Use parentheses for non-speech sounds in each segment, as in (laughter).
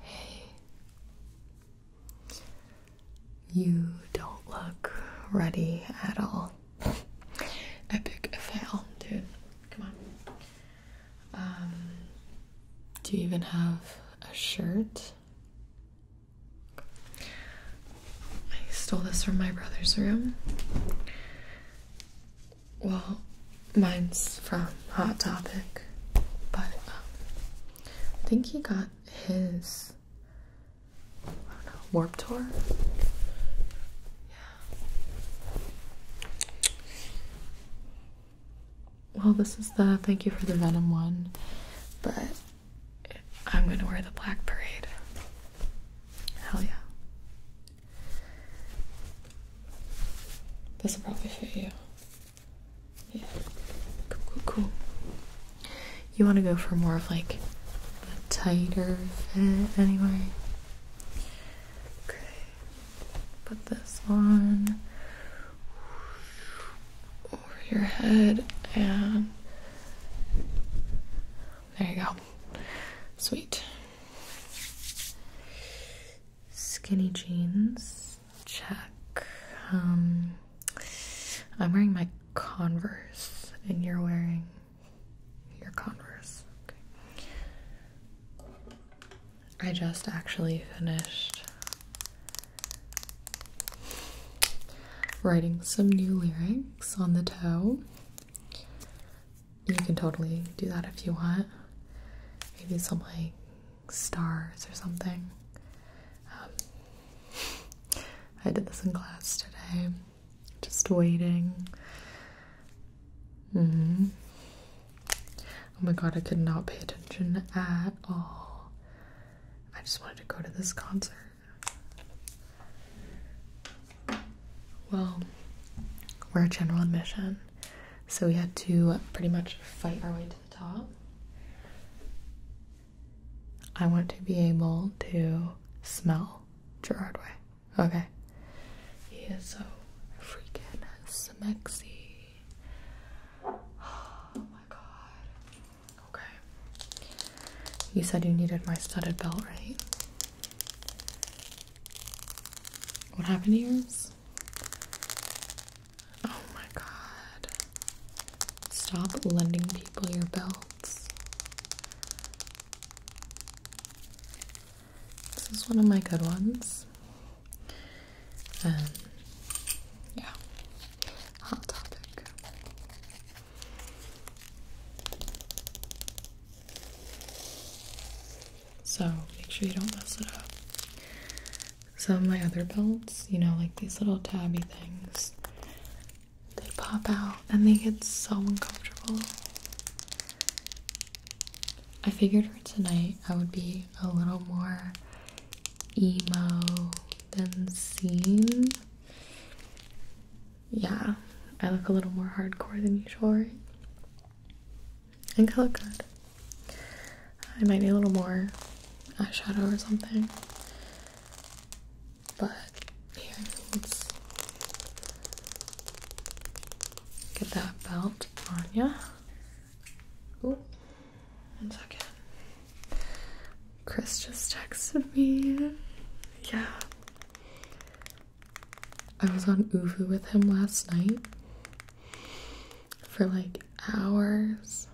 Hey, you don't look ready at all. Epic fail, dude. Come on. Um, do you even have a shirt? I stole this from my brother's room. Well, mine's from Hot Topic, but um, I think he got his I don't know, Warp Tour. Yeah. Well, this is the thank you for the Venom one, but I'm gonna wear the Black Parade. Hell yeah. This will probably fit you. Yeah. Cool, cool, You want to go for more of like a tighter fit anyway? Okay. Put this on over your head and there you go. Sweet skinny jeans. Check. Um, I'm wearing my Converse, and you're wearing your Converse. I just actually finished writing some new lyrics on the toe you can totally do that if you want. Maybe some like stars or something. Um, (laughs) I did this in class today. Just waiting. hmm. Oh my god, I could not pay attention at all. I just wanted to go to this concert. Well, we're general admission so we had to pretty much fight our way to the top. I want to be able to smell Gerard Way. Okay. He is so freaking smexy. Oh my god. Okay. You said you needed my studded belt, right? What happened to yours? Oh my god. Stop lending people your belts. This is one of my good ones. Um, yeah. Hot topic so make sure you don't mess it up. Some of my other belts, you know, like these little tabby things, they pop out and they get so uncomfortable. I figured for tonight I would be a little more emo than seen. Yeah, I look a little more hardcore than usual, and look good. I might need a little more eyeshadow or something. But here, let's get that belt on yeah. Ooh, one second. Chris just texted me. Yeah. I was on Uvu with him last night for like hours.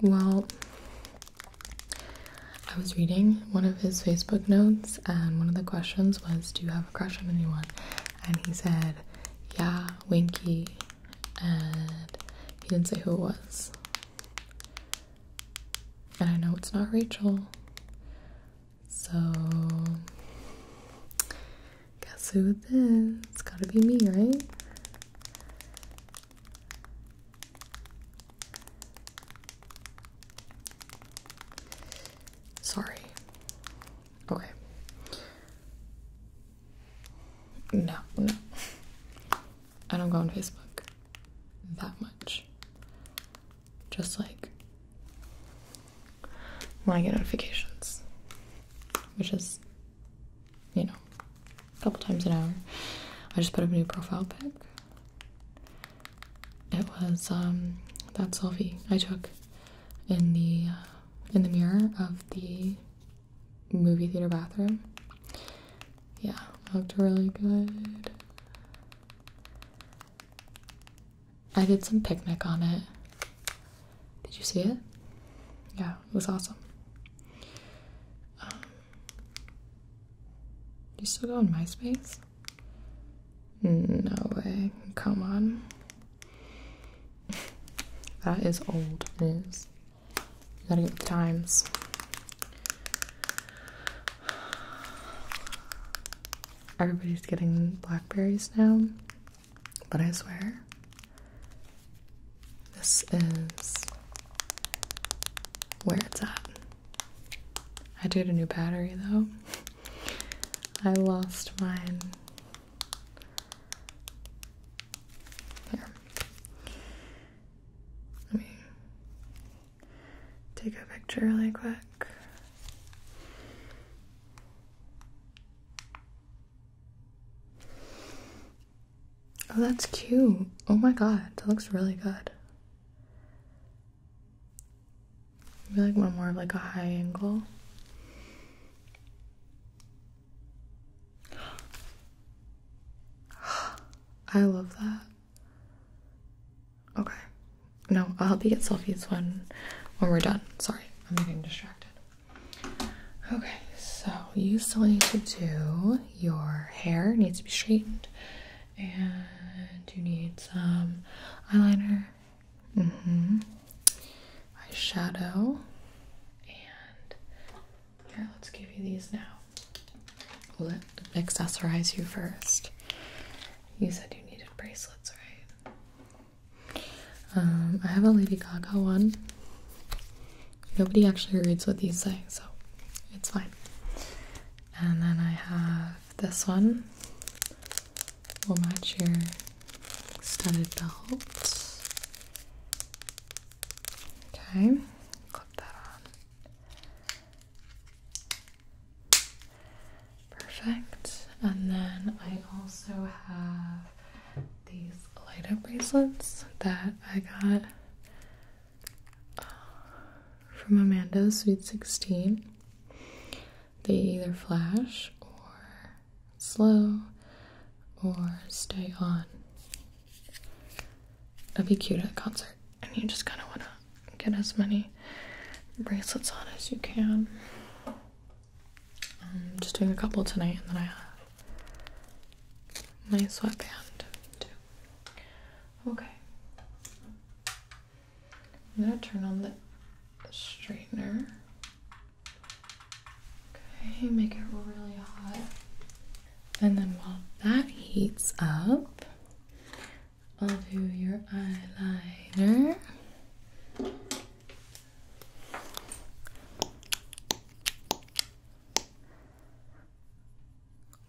Well, I was reading one of his Facebook notes, and one of the questions was, Do you have a crush on anyone? And he said, Yeah, Winky and he didn't say who it was. And I know it's not Rachel. So guess who it is? It's gotta be me, right? Sorry. Okay. No, no. I don't go on Facebook that much. Just like when I get notifications, which is, you know, a couple times an hour. I just put up a new profile pic. It was um, that selfie I took in the uh, in the mirror of the movie theater bathroom. Yeah, looked really good. I did some picnic on it. Did you see it? Yeah, it was awesome. Um, you still go on MySpace? No way. Come on. (laughs) That is old news. You got the times. Everybody's getting blackberries now, but I swear, this is where it's at. I did a new battery though. (laughs) I lost mine here. Let me take a picture really quick. Oh, that's cute. Oh my god, that looks really good. Maybe like one more of like a high angle. (gasps) I love that. Okay. No, I'll help you get selfies when when we're done. Sorry, I'm getting distracted. Okay, so you still need to do your hair needs to be straightened, and you need some eyeliner, mm-hmm, eyeshadow, and here, let's give you these now. Let will accessorize you first. You said you needed bracelets, right? Um, I have a Lady Gaga one. Nobody actually reads what these say, so it's fine. And then I have this one. Will match your studded belt. Okay, clip that on. Perfect. And then I also have these light up bracelets that I got uh, from Amanda's Sweet 16. They either flash or slow or stay on. That'd be cute at a concert. And you just kind of want to get as many bracelets on as you can. I'm um, just doing a couple tonight, and then I have my sweatband too. Okay. I'm gonna turn on the straightener. Okay, make it really hot. And then while that heats up, I'll do your eyeliner.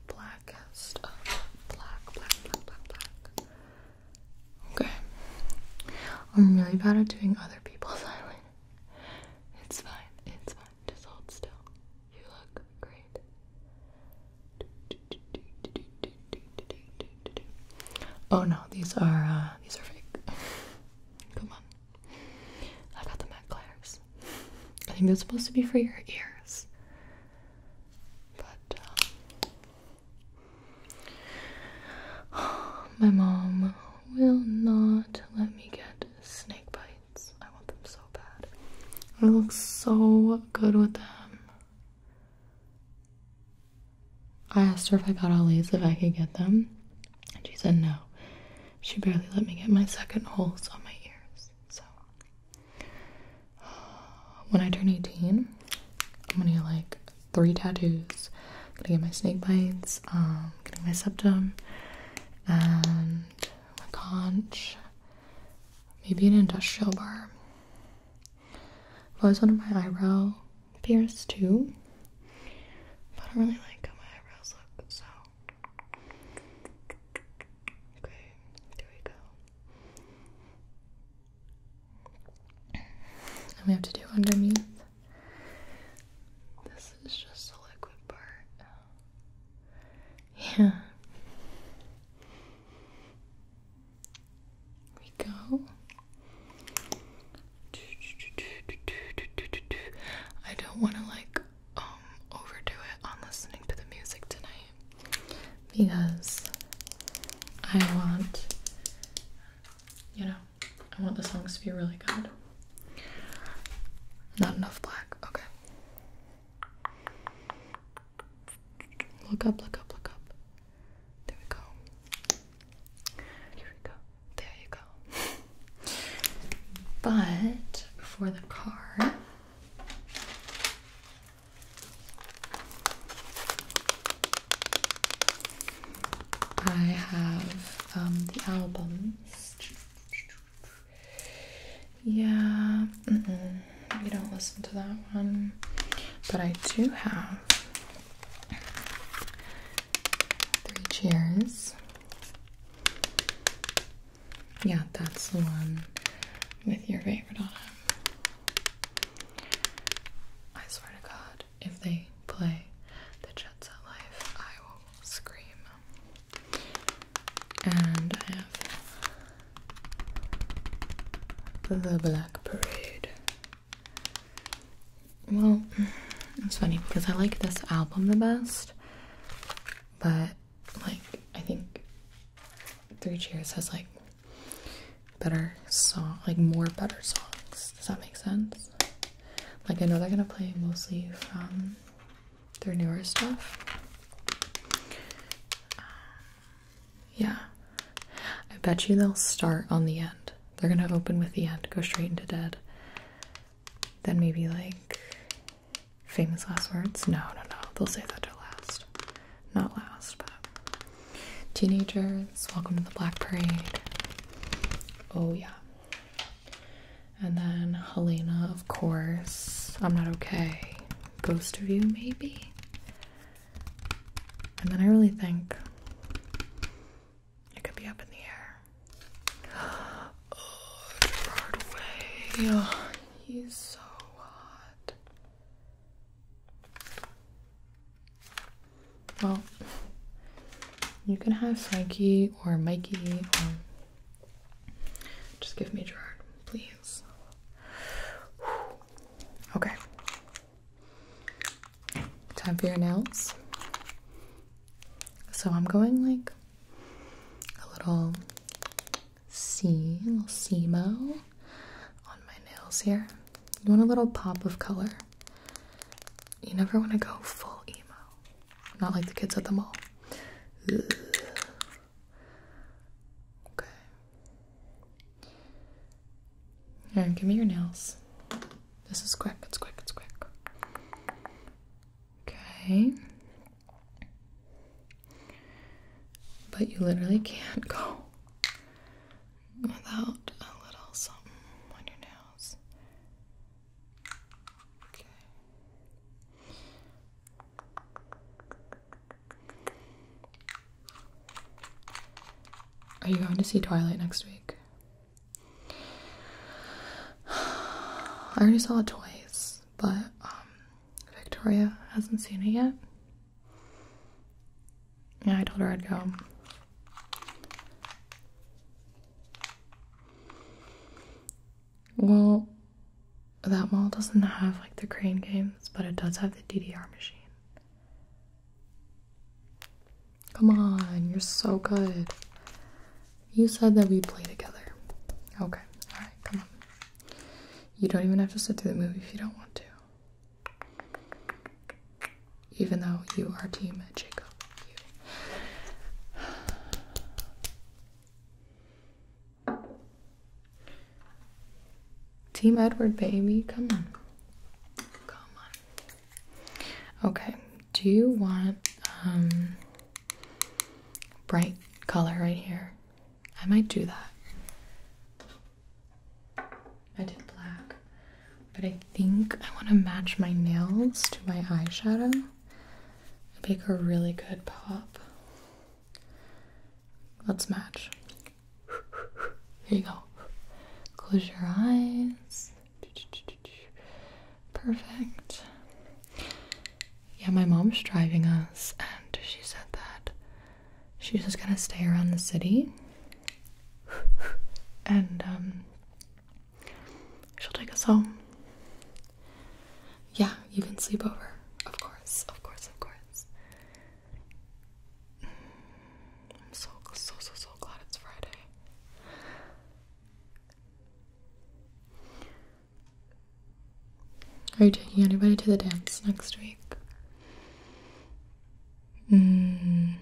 Blackest of black, black, black, black, black. Okay. I'm really bad at doing other people's eyeliner. It's fine, it's fine. Just still. You look great. Oh no, these are uh, these are fake. (laughs) Come on, I got the Mac I think they're supposed to be for your ears, but uh, (sighs) my mom will not let me get snake bite. I want them so bad. It look so good with them. I asked her if I got Ollie's if I could get them, and she said no. She barely let me get my second holes on my ears. So (sighs) when I turn 18, I'm gonna get like three tattoos. I'm gonna get my snake bites, um, getting my septum, and a conch, maybe an industrial bar. I've always wanted my eyebrow pierced too, but I don't really like how my eyebrows look, so. Okay, there we go. And we have to do underneath. This is just the liquid part. Yeah. We go. I don't want to like um, overdo it on listening to the music tonight because I want you know, I want the songs to be really good. Not enough black. Okay. Look up, look up, look up. There we go. Here we go. There you go. (laughs) but for the car, I have um, the albums yeah, we don't listen to that one, but I do have three cheers. Yeah, that's the one with your favorite on it. I swear to God, if they play the Jet Set Life, I will scream and I have the Black Parade. Well, mm, it's funny because I like this album the best, but like I think Three Cheers has like better song, like more better songs. Does that make sense? Like I know they're gonna play mostly from their newer stuff. yeah, I bet you they'll start on the end. They're gonna open with the end, go straight into dead. Then maybe like famous last words. No, no, no. They'll say that to last, not last, but teenagers. Welcome to the Black Parade. Oh yeah. And then Helena, of course. I'm not okay. Ghost of you, maybe? And then I really think it could be up in the air. (gasps) Oh, Gerard Way. he's so hot. Well, you can have Frankie or Mikey just give me Gerard, please. Okay. Time for your nails. So I'm going like a little C, a little Semo on my nails here. You want a little pop of color. You never want to go full emo. Not like the kids at the mall. Okay. Here, give me your nails. This is quick, it's quick, it's quick. Okay. But you literally can't go without a little something on your nails. Are you going to see Twilight next week? (sighs) I already saw it twice, but um, Victoria hasn't seen it yet. Yeah, I told her I'd go. Well, that mall doesn't have like the crane games, but it does have the DDR machine. Come on, you're so good. You said that we play together. Okay, alright, come on. You don't even have to sit through the movie if you don't want to. Even though you are team Jacob. Team Edward, baby. Come on. Come on. Okay. Do you want um, bright color right here? I might do that. I did black. But I think I want to match my nails to my eyeshadow make a really good pop. Let's match. Here you go. Close your eyes. Perfect. Yeah, my mom's driving us, and she said that she's just gonna stay around the city. And um, she'll take us home. Yeah, you can sleep over. Of course, of course, of course. I'm so, so, so, so glad it's Friday. Are you taking anybody to the dance next week? Mm,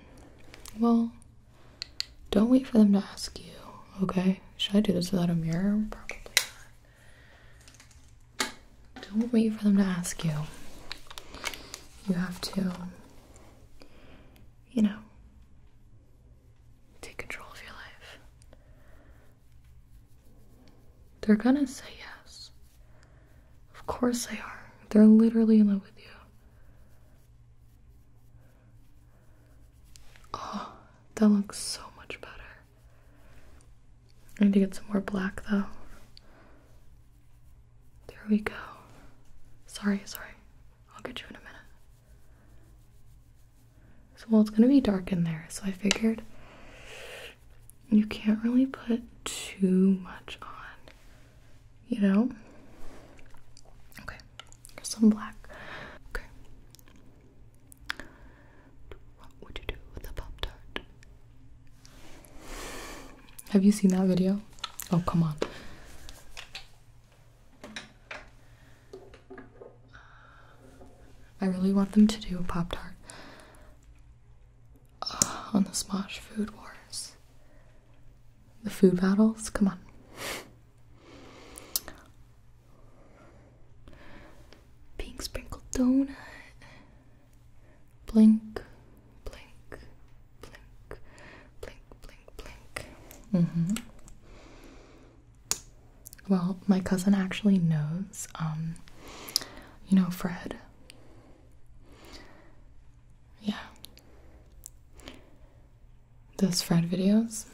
well, don't wait for them to ask you, okay? Should I do this without a mirror? Probably not. Don't wait for them to ask you. You have to, you know, take control of your life. They're gonna say yes. Of course they are. They're literally in love with you. Oh, that looks so much better. I need to get some more black though. There we go. Sorry, sorry. I'll get you in a minute. So, well, it's gonna be dark in there, so I figured you can't really put too much on, you know? Okay, some black. Okay, what would you do with a Pop Tart? Have you seen that video? Oh, come on. I really want them to do a Pop Tart uh, on the Smosh Food Wars. The food battles? Come on. Pink sprinkled donut. Blink, blink, blink, blink, blink, blink. Mm-hmm. Well, my cousin actually knows, um, you know, Fred. Yeah those Fred videos.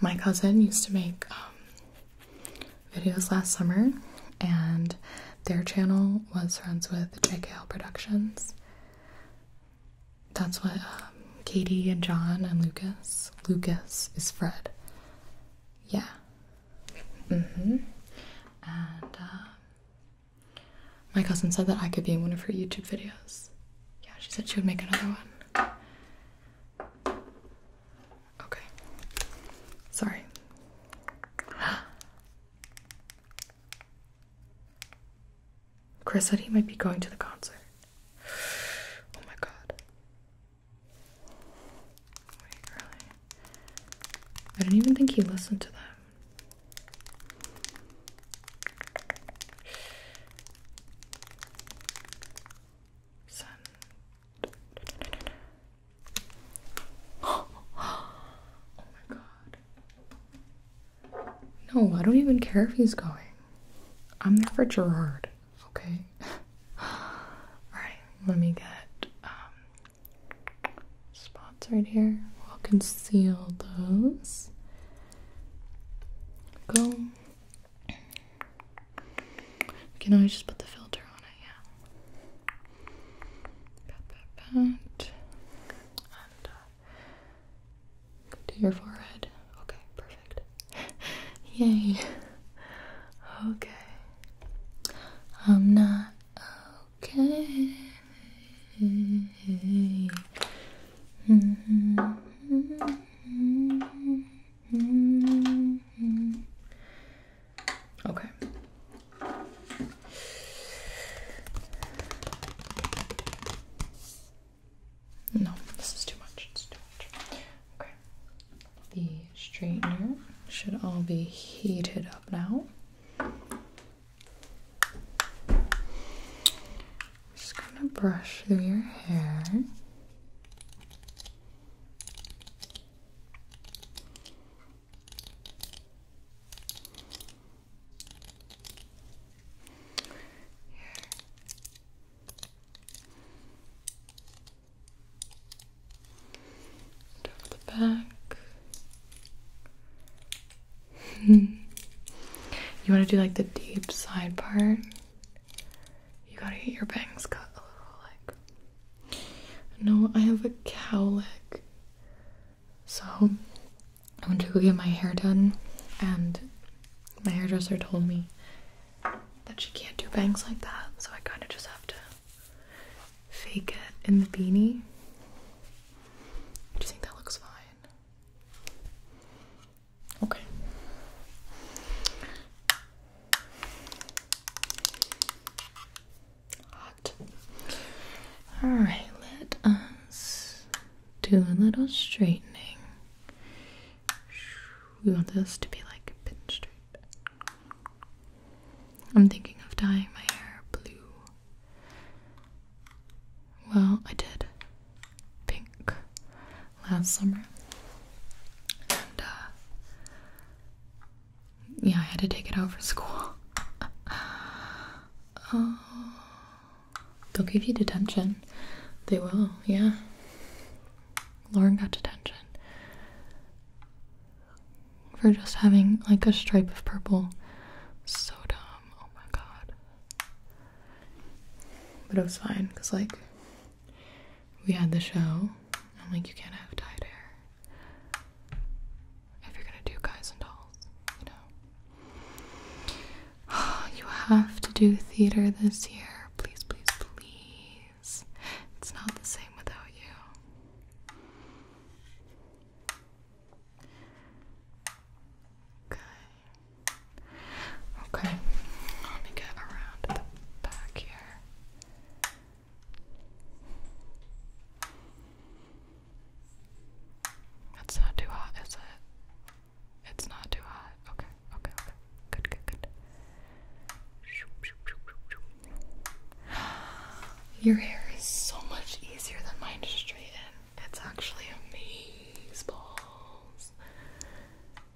My cousin used to make um, videos last summer, and their channel was friends with JKL Productions. That's what um, Katie and John and Lucas. Lucas is Fred. Yeah. Mm-hmm. And um, my cousin said that I could be in one of her YouTube videos. Yeah, she said she would make another one. Okay. Sorry. (gasps) Chris said he might be going to the concert. Oh my god. Wait, really? I don't even think he listened to them. (gasps) oh my god. No, I don't even care if he's going. I'm there for Gerard, okay? (sighs) Alright, let me get um, spots right here. We'll conceal those. Go. You can always just put the filter on it, yeah. Uh, to your forehead. Okay, perfect. (laughs) Yay. Okay. I'm not okay. Mm-hmm. Mm-hmm. Okay. No, this is too much. It's too much. Okay. The straightener should all be heated up now just gonna brush through your hair. Here. the back. (laughs) you want to do like the deep side part? You gotta get your bangs cut a little, like. No, I have a cowlick. So, I went to go get my hair done, and my hairdresser told me that she can't do bangs like that, so I kind of just have to fake it in the beanie. Do you think that looks fine? Okay. Hot. All right, let us do a little straightening. We want this to be like pin straight. I'm thinking of dyeing my hair blue. Well, I did pink last summer. And uh, yeah, I had to take it out for school. (laughs) Oh. they'll give you detention. They will, yeah. Lauren got detention for just having like a stripe of purple. So dumb. Oh my god. But it was fine because, like, we had the show. I'm like, you can't have dyed hair if you're gonna do guys and dolls, you know. (sighs) you have to do theater this year, please, please, please. It's not the same without you. Okay. Okay, let me get around the back here. That's not too hot, is it? It's not too hot. Okay, okay, okay. Good, good, good. Your hair is so much easier than mine to straighten. It's actually amazeballs.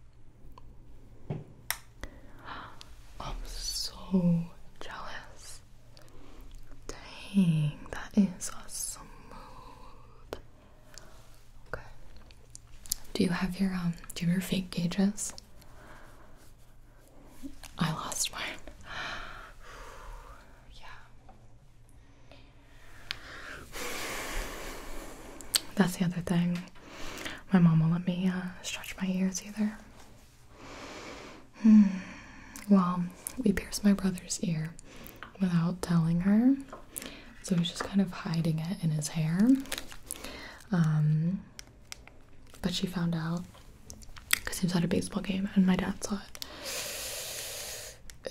(gasps) I'm so jealous. Dang, that is a smooth. Okay. Do you have your um? Do your fake gauges? I lost mine. (sighs) yeah. That's the other thing. My mom won't let me uh, stretch my ears either. Hmm. Well, we pierced my brother's ear without telling her, so he's just kind of hiding it in his hair. Um, but she found out because he was at a baseball game and my dad saw it.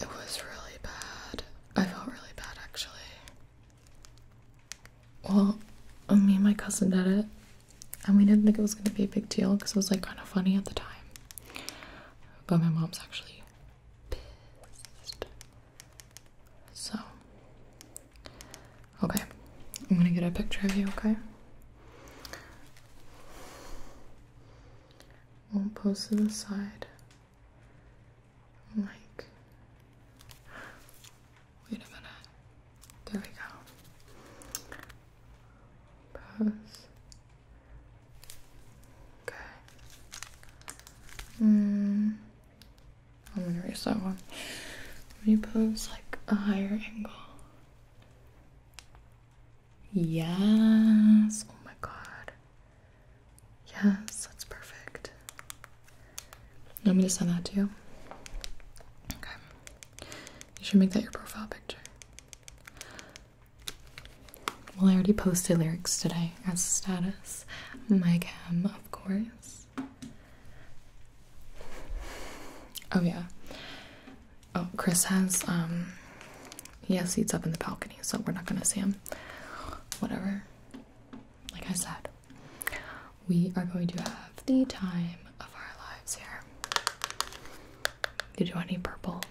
It was really bad. I felt really bad actually. Well, me and my cousin did it, and we didn't think it was gonna be a big deal because it was like kind of funny at the time. But my mom's actually pissed. So, okay, I'm gonna get a picture of you, okay? We'll post to the side. Like, wait a minute. There we go. Pose. Okay. Mm. I'm gonna erase that one. When you pose like a higher angle. Yes. Oh my god. Yes, that's perfect. You want me to send that to you? Okay. You should make that your profile picture. Well, I already posted lyrics today as status. My cam, of course. Oh yeah. Oh, Chris has um he has seats up in the balcony, so we're not gonna see him. Whatever like I said, we are going to have the time of our lives here. Did you want any purple?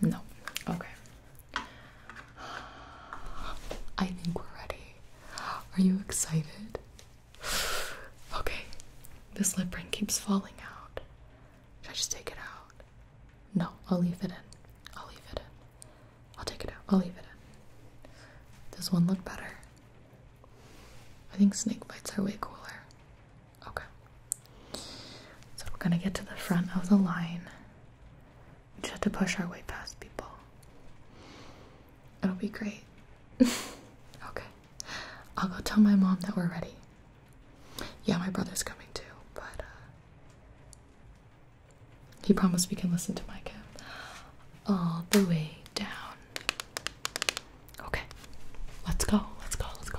No. Okay. I think we're ready. Are you excited? Okay. This lip ring keeps falling out. Should I just take it out? No, I'll leave it in. I'll leave it in. I'll take it out. I'll leave it in. Does one look better? I think snake bites are way cooler. Okay. So we're gonna get to the front of the line. We just have to push our way past people. It'll be great. (laughs) okay. I'll go tell my mom that we're ready. Yeah, my brother's coming too, but uh, he promised we can listen to my Micah all the way down. Okay, let's go, let's go, let's go.